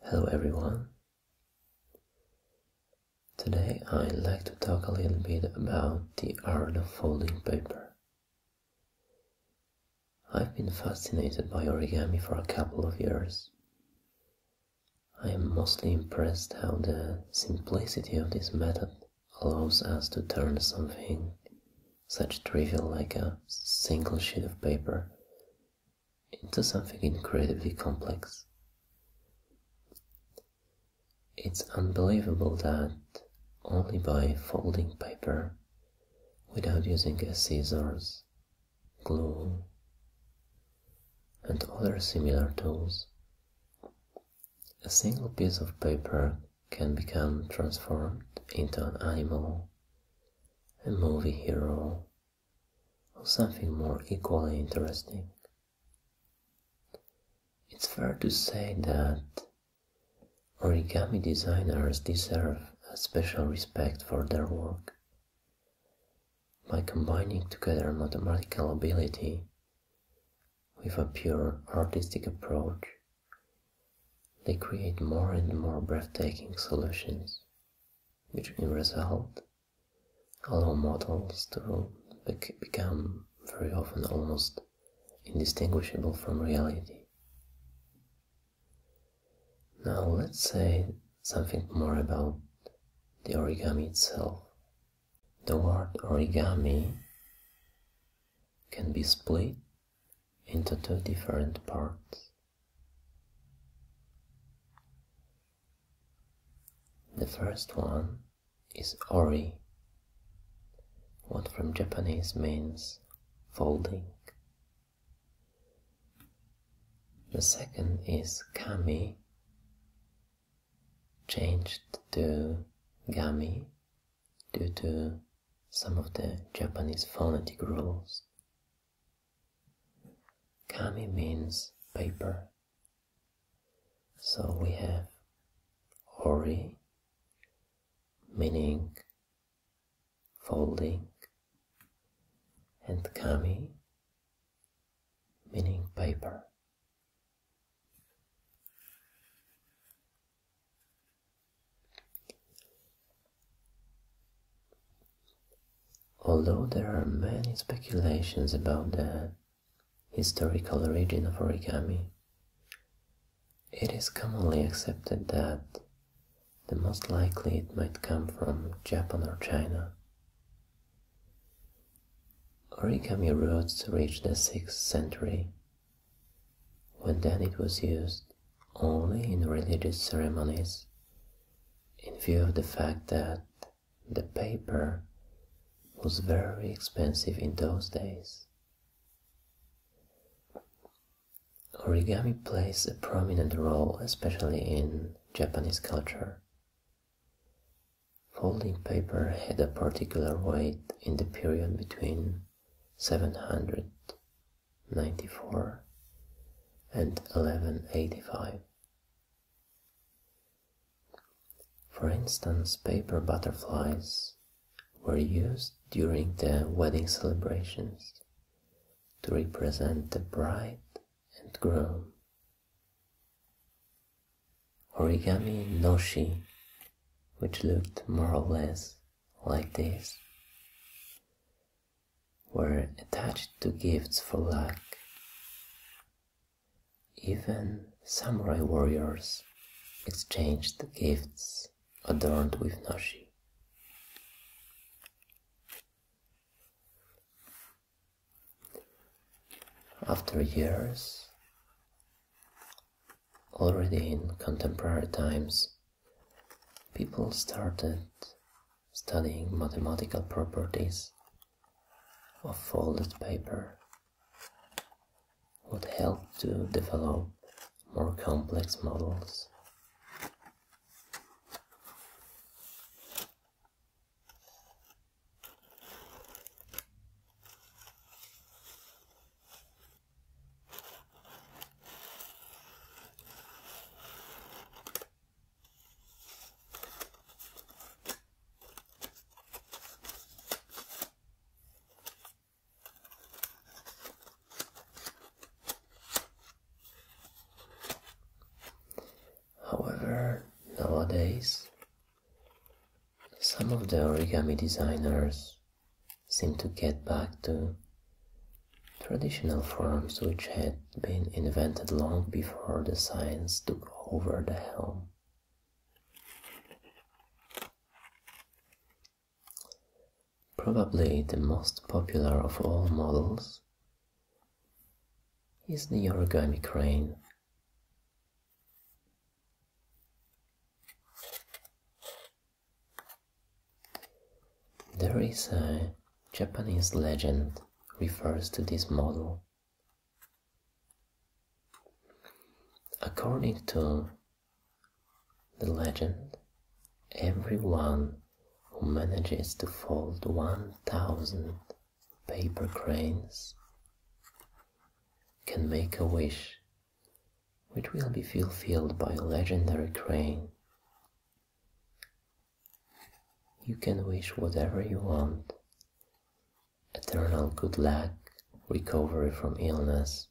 Hello everyone. Today I'd like to talk a little bit about the art of folding paper. I've been fascinated by origami for a couple of years. I am mostly impressed how the simplicity of this method allows us to turn something such trivial like a single sheet of paper into something incredibly complex. It's unbelievable that only by folding paper without using a scissors, glue, and other similar tools, a single piece of paper can become transformed into an animal, a movie hero, or something more equally interesting. It's fair to say that origami designers deserve a special respect for their work. By combining together mathematical ability with a pure artistic approach, they create more and more breathtaking solutions, which in result allow models to become very often almost indistinguishable from reality. Now let's say something more about the origami itself the word origami can be split into two different parts. The first one is ori, what from Japanese means folding. The second is kami, changed to kami due to some of the Japanese phonetic rules. Kami means paper. So we have ori, meaning folding, and kami, meaning paper. Although there are many speculations about the historical origin of origami, it is commonly accepted that the most likely it might come from Japan or China. Origami roots reached the 6th century, when then it was used only in religious ceremonies, in view of the fact that the paper was very expensive in those days. Origami plays a prominent role, especially in Japanese culture. Folding paper had a particular weight in the period between 794 and 1185. For instance, paper butterflies were used during the wedding celebrations to represent the bride and groom Origami Noshi, which looked more or less like this, were attached to gifts for luck. Even samurai warriors exchanged gifts adorned with Noshi. After years, already in contemporary times, people started studying mathematical properties of folded paper would help to develop more complex models. However, nowadays some of the origami designers seem to get back to traditional forms which had been invented long before the science took over the helm. Probably the most popular of all models is the origami crane there is a Japanese legend refers to this model. According to the legend, everyone who manages to fold 1000 paper cranes can make a wish which will be fulfilled by a legendary crane. You can wish whatever you want eternal good luck, recovery from illness,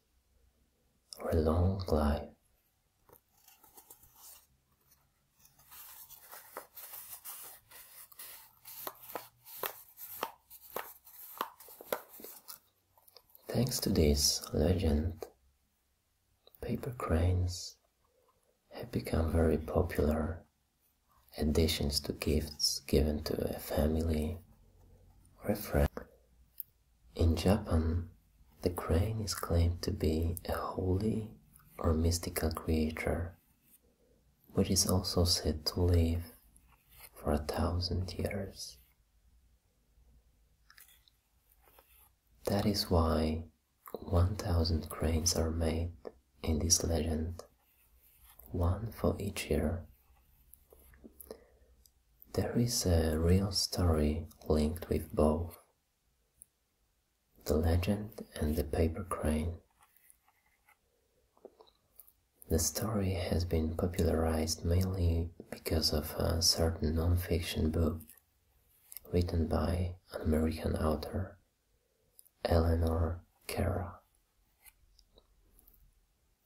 or long life. Thanks to this legend, paper cranes have become very popular additions to gifts given to a family or a friend. In Japan, the crane is claimed to be a holy or mystical creature which is also said to live for a thousand years. That is why 1000 cranes are made in this legend, one for each year. There is a real story linked with both the legend and the paper crane. The story has been popularized mainly because of a certain non-fiction book written by an American author, Eleanor Kara.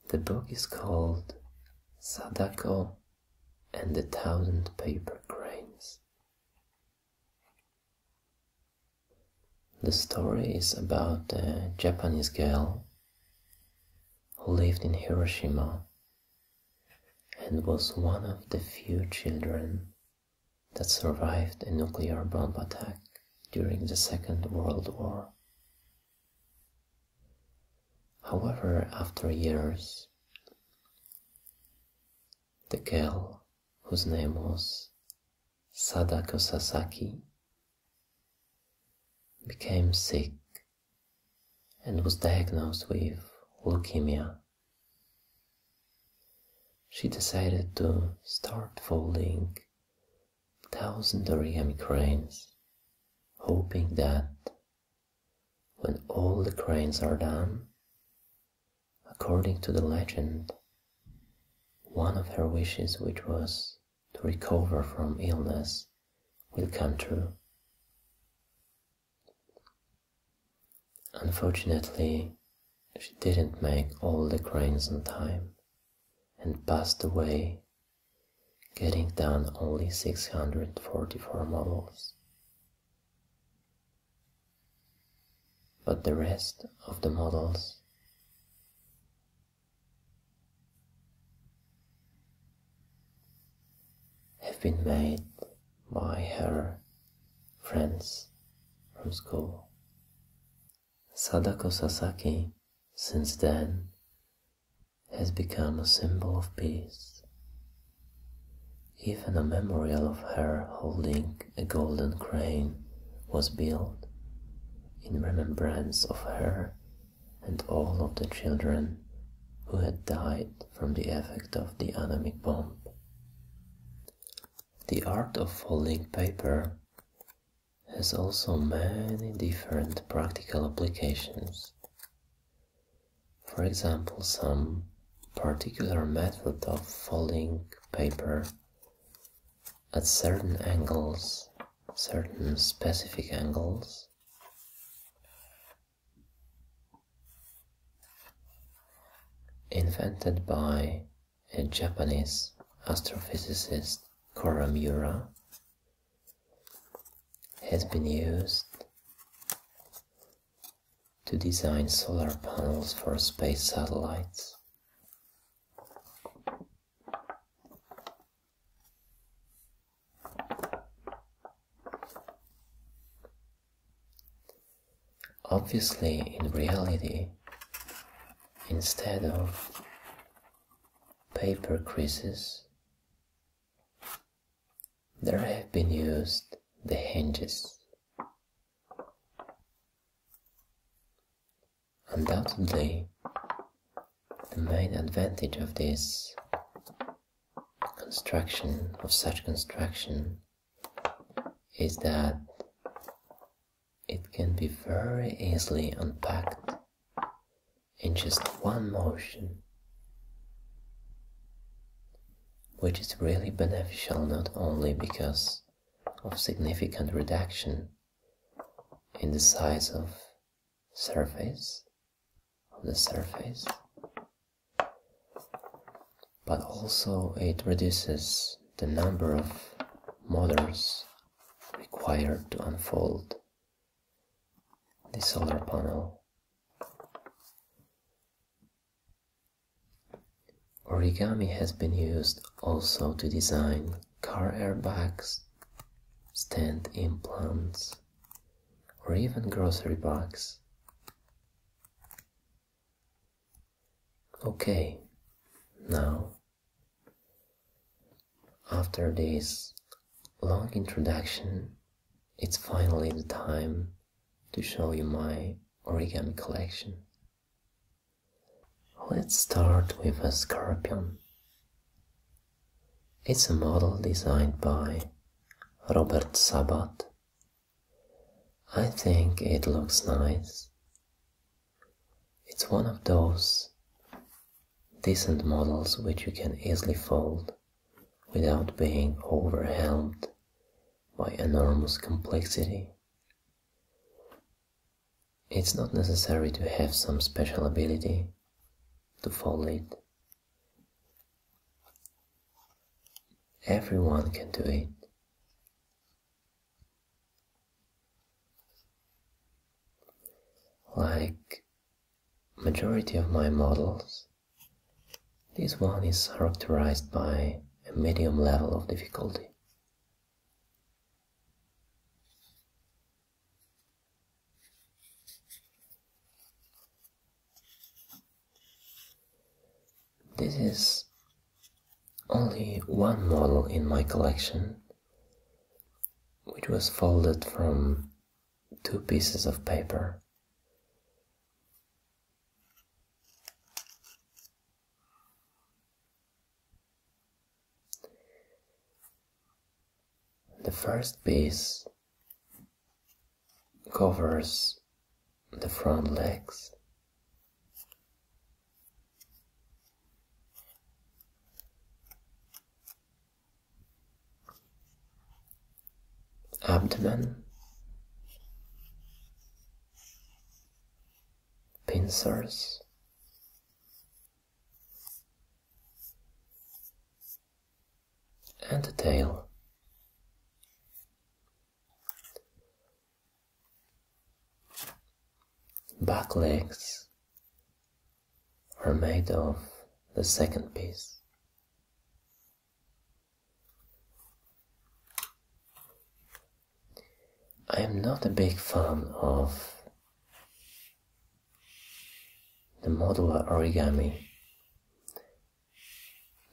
The book is called Sadako and the Thousand Paper Cranes. The story is about a Japanese girl who lived in Hiroshima and was one of the few children that survived a nuclear bomb attack during the Second World War. However, after years, the girl, whose name was Sadako Sasaki became sick and was diagnosed with leukemia. She decided to start folding thousand origami cranes, hoping that when all the cranes are done, According to the legend, one of her wishes, which was to recover from illness, will come true. Unfortunately, she didn't make all the cranes on time and passed away, getting down only 644 models but the rest of the models have been made by her friends from school. Sadako Sasaki, since then, has become a symbol of peace. Even a memorial of her holding a golden crane was built in remembrance of her and all of the children who had died from the effect of the atomic bomb. The art of folding paper has also many different practical applications. For example, some particular method of folding paper at certain angles, certain specific angles, invented by a Japanese astrophysicist Koramura, has been used to design solar panels for space satellites. Obviously, in reality, instead of paper creases, there have been used the hinges Undoubtedly, the main advantage of this construction, of such construction, is that it can be very easily unpacked in just one motion, which is really beneficial not only because of significant reduction in the size of surface the surface but also it reduces the number of motors required to unfold the solar panel Origami has been used also to design car airbags, stand implants, or even grocery bags. Okay, now, after this long introduction, it's finally the time to show you my origami collection. Let's start with a scorpion. It's a model designed by Robert Sabat. I think it looks nice. It's one of those decent models which you can easily fold without being overwhelmed by enormous complexity it's not necessary to have some special ability to follow it. Everyone can do it. Like majority of my models, this one is characterized by a medium level of difficulty. This is only one model in my collection, which was folded from two pieces of paper. The first piece covers the front legs. abdomen pincers. and the tail. Back legs are made of the second piece. I am not a big fan of the modular origami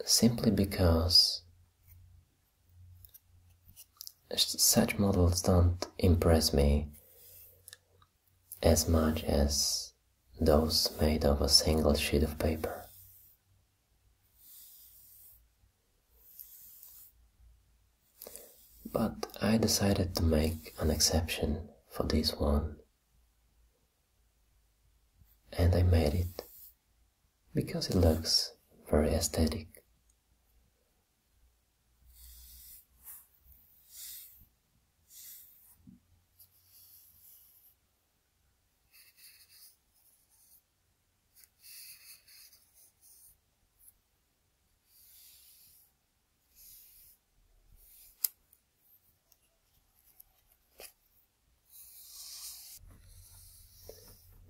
simply because such models don't impress me as much as those made of a single sheet of paper. But I decided to make an exception for this one. And I made it because it looks very aesthetic.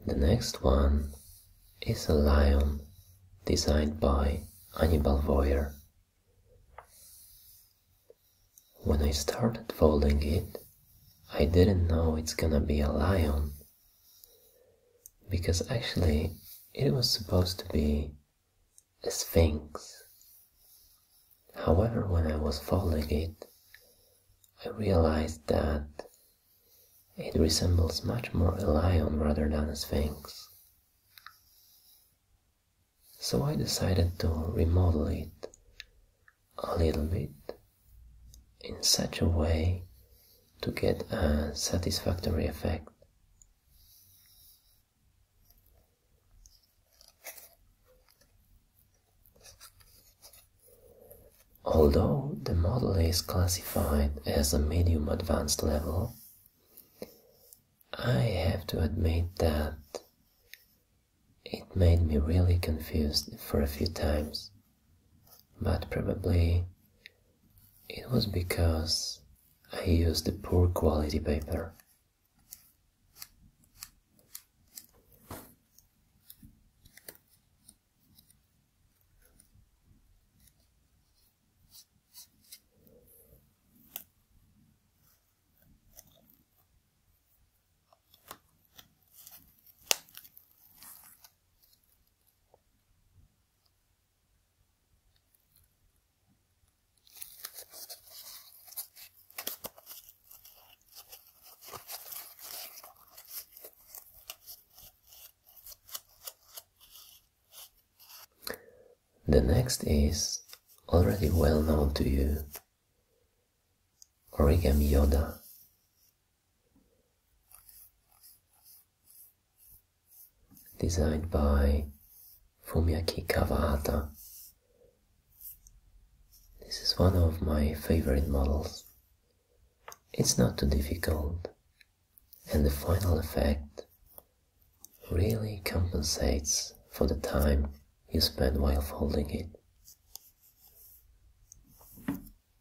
The next one is a lion designed by Annibal Boyer. When I started folding it, I didn't know it's gonna be a lion because actually, it was supposed to be a sphinx. However, when I was folding it, I realized that it resembles much more a lion rather than a sphinx. So I decided to remodel it a little bit in such a way to get a satisfactory effect. Although the model is classified as a medium advanced level, I have to admit that it made me really confused for a few times. But probably it was because I used a poor quality paper. The next is already well known to you Origami Yoda designed by Fumiaki Kawata. This is one of my favorite models. It's not too difficult, and the final effect really compensates for the time you spend while folding it.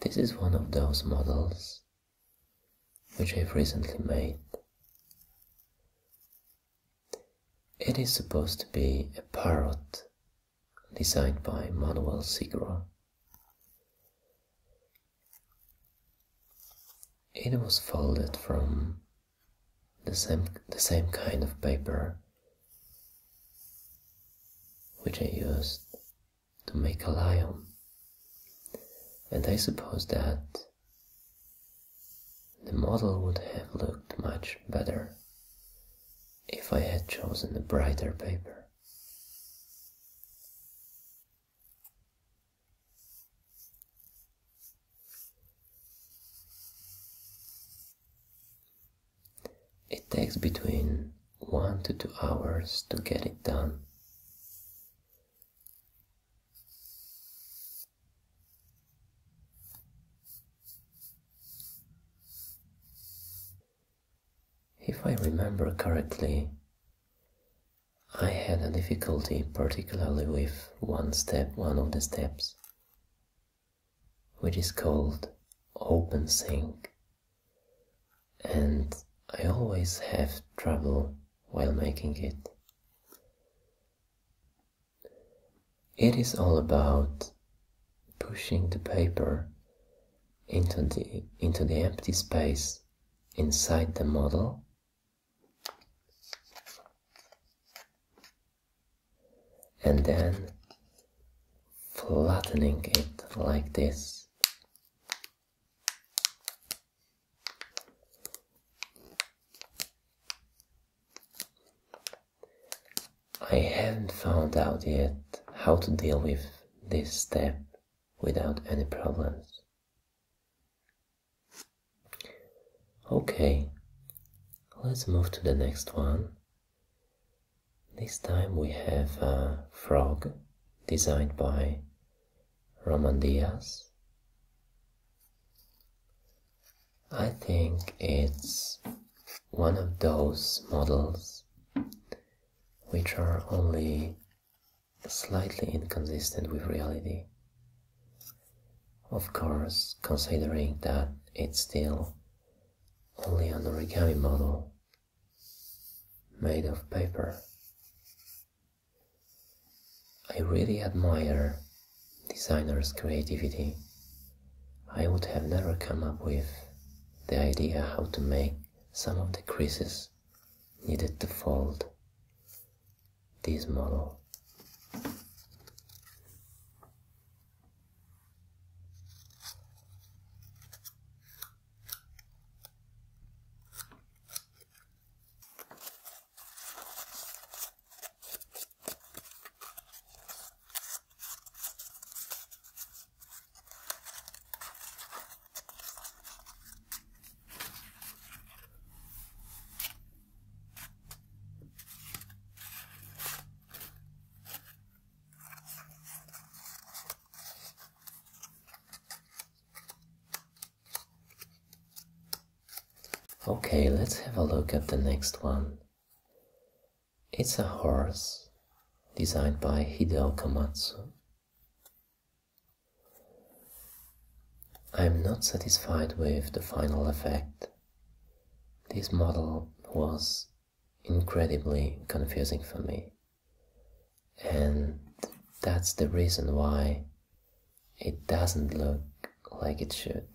This is one of those models which I've recently made. It is supposed to be a parrot designed by Manuel Sigro. It was folded from the same, the same kind of paper which I used to make a lion. And I suppose that the model would have looked much better if I had chosen a brighter paper. It takes between one to two hours to get it done. If I remember correctly, I had a difficulty particularly with one step, one of the steps which is called Open Sync. And I always have trouble while making it. It is all about pushing the paper into the, into the empty space inside the model and then flattening it like this. I haven't found out yet how to deal with this step without any problems. Okay, let's move to the next one. This time we have a frog designed by Roman Diaz. I think it's one of those models which are only slightly inconsistent with reality. Of course, considering that it's still only an origami model made of paper. I really admire designers' creativity. I would have never come up with the idea how to make some of the creases needed to fold this model. Okay, let's have a look at the next one. It's a horse designed by Hideo Komatsu. I'm not satisfied with the final effect. This model was incredibly confusing for me, and that's the reason why it doesn't look like it should.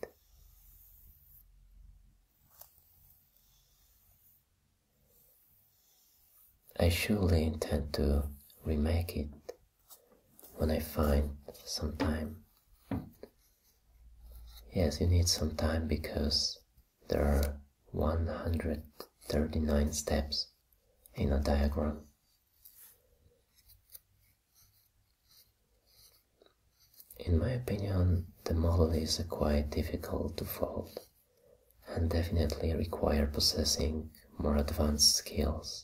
I surely intend to remake it when I find some time. Yes, you need some time because there are 139 steps in a diagram. In my opinion, the model is quite difficult to fold and definitely require possessing more advanced skills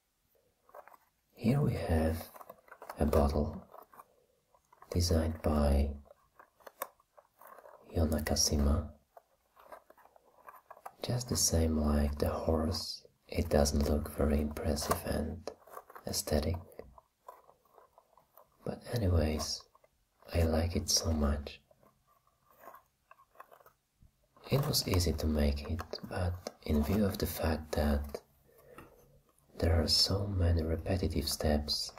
Here we have a bottle designed by Yonakashima. Just the same like the horse, it doesn't look very impressive and aesthetic. But anyways, I like it so much. It was easy to make it, but in view of the fact that there are so many repetitive steps,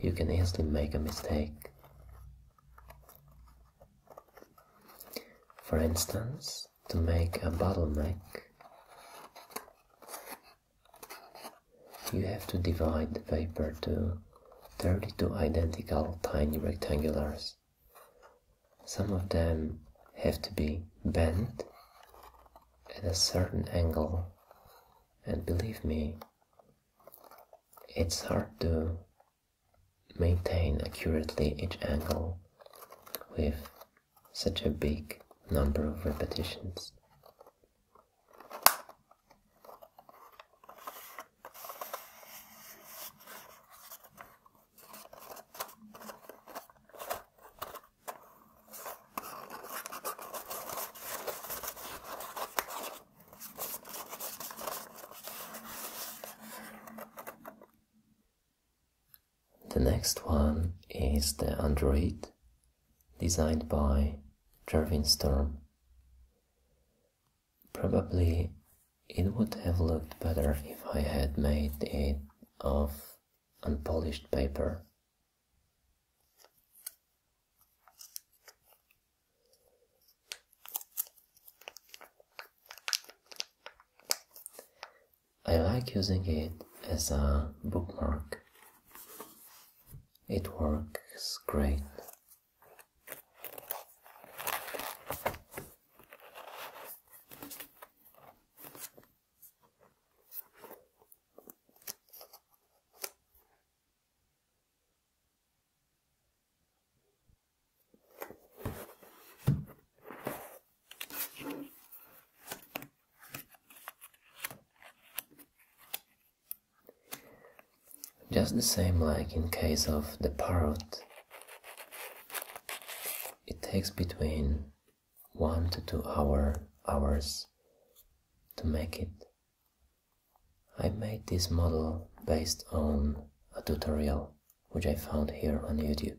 you can easily make a mistake. For instance, to make a bottleneck, you have to divide the paper to 32 identical tiny rectangulars. Some of them have to be bent at a certain angle, and believe me, it's hard to maintain accurately each angle with such a big number of repetitions. The next one is the Android designed by Jervin Storm. Probably it would have looked better if I had made it of unpolished paper. I like using it as a bookmark. It works great. Just the same like in case of the parrot, it takes between one to two hour hours to make it. I made this model based on a tutorial which I found here on YouTube.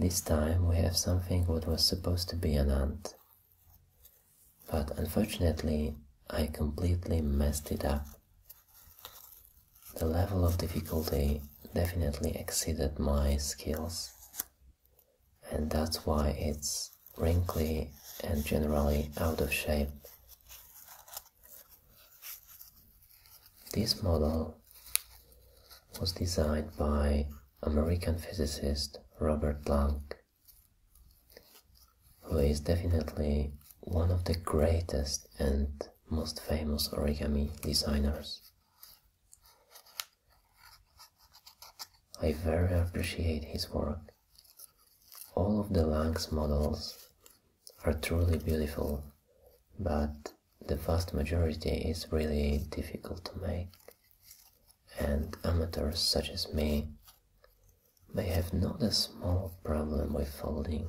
This time we have something what was supposed to be an ant, but unfortunately I completely messed it up the level of difficulty definitely exceeded my skills, and that's why it's wrinkly and generally out of shape. This model was designed by American physicist Robert Planck who is definitely one of the greatest and most famous origami designers. I very appreciate his work. All of the Lang's models are truly beautiful, but the vast majority is really difficult to make, and amateurs such as me they have not a small problem with folding.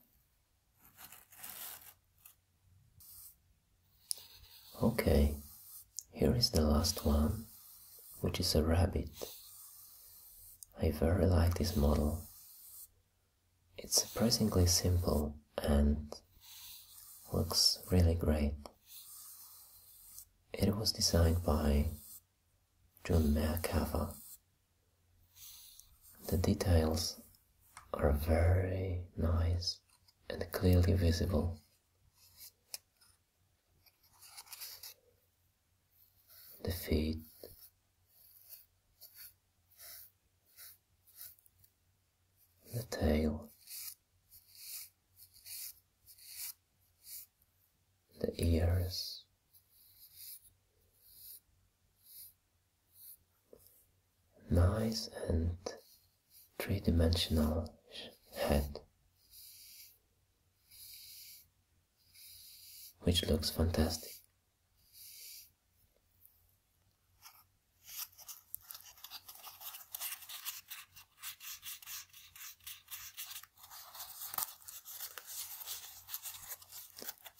Okay, here is the last one, which is a rabbit. I very like this model. It's surprisingly simple and looks really great. It was designed by Jume'ah Kafa. The details are very nice and clearly visible. The feet, the tail, the ears, nice and three-dimensional head which looks fantastic.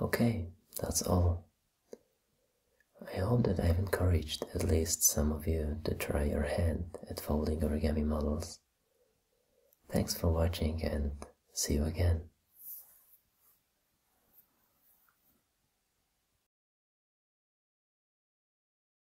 Okay, that's all. I hope that I've encouraged at least some of you to try your hand at folding origami models. Thanks for watching and see you again.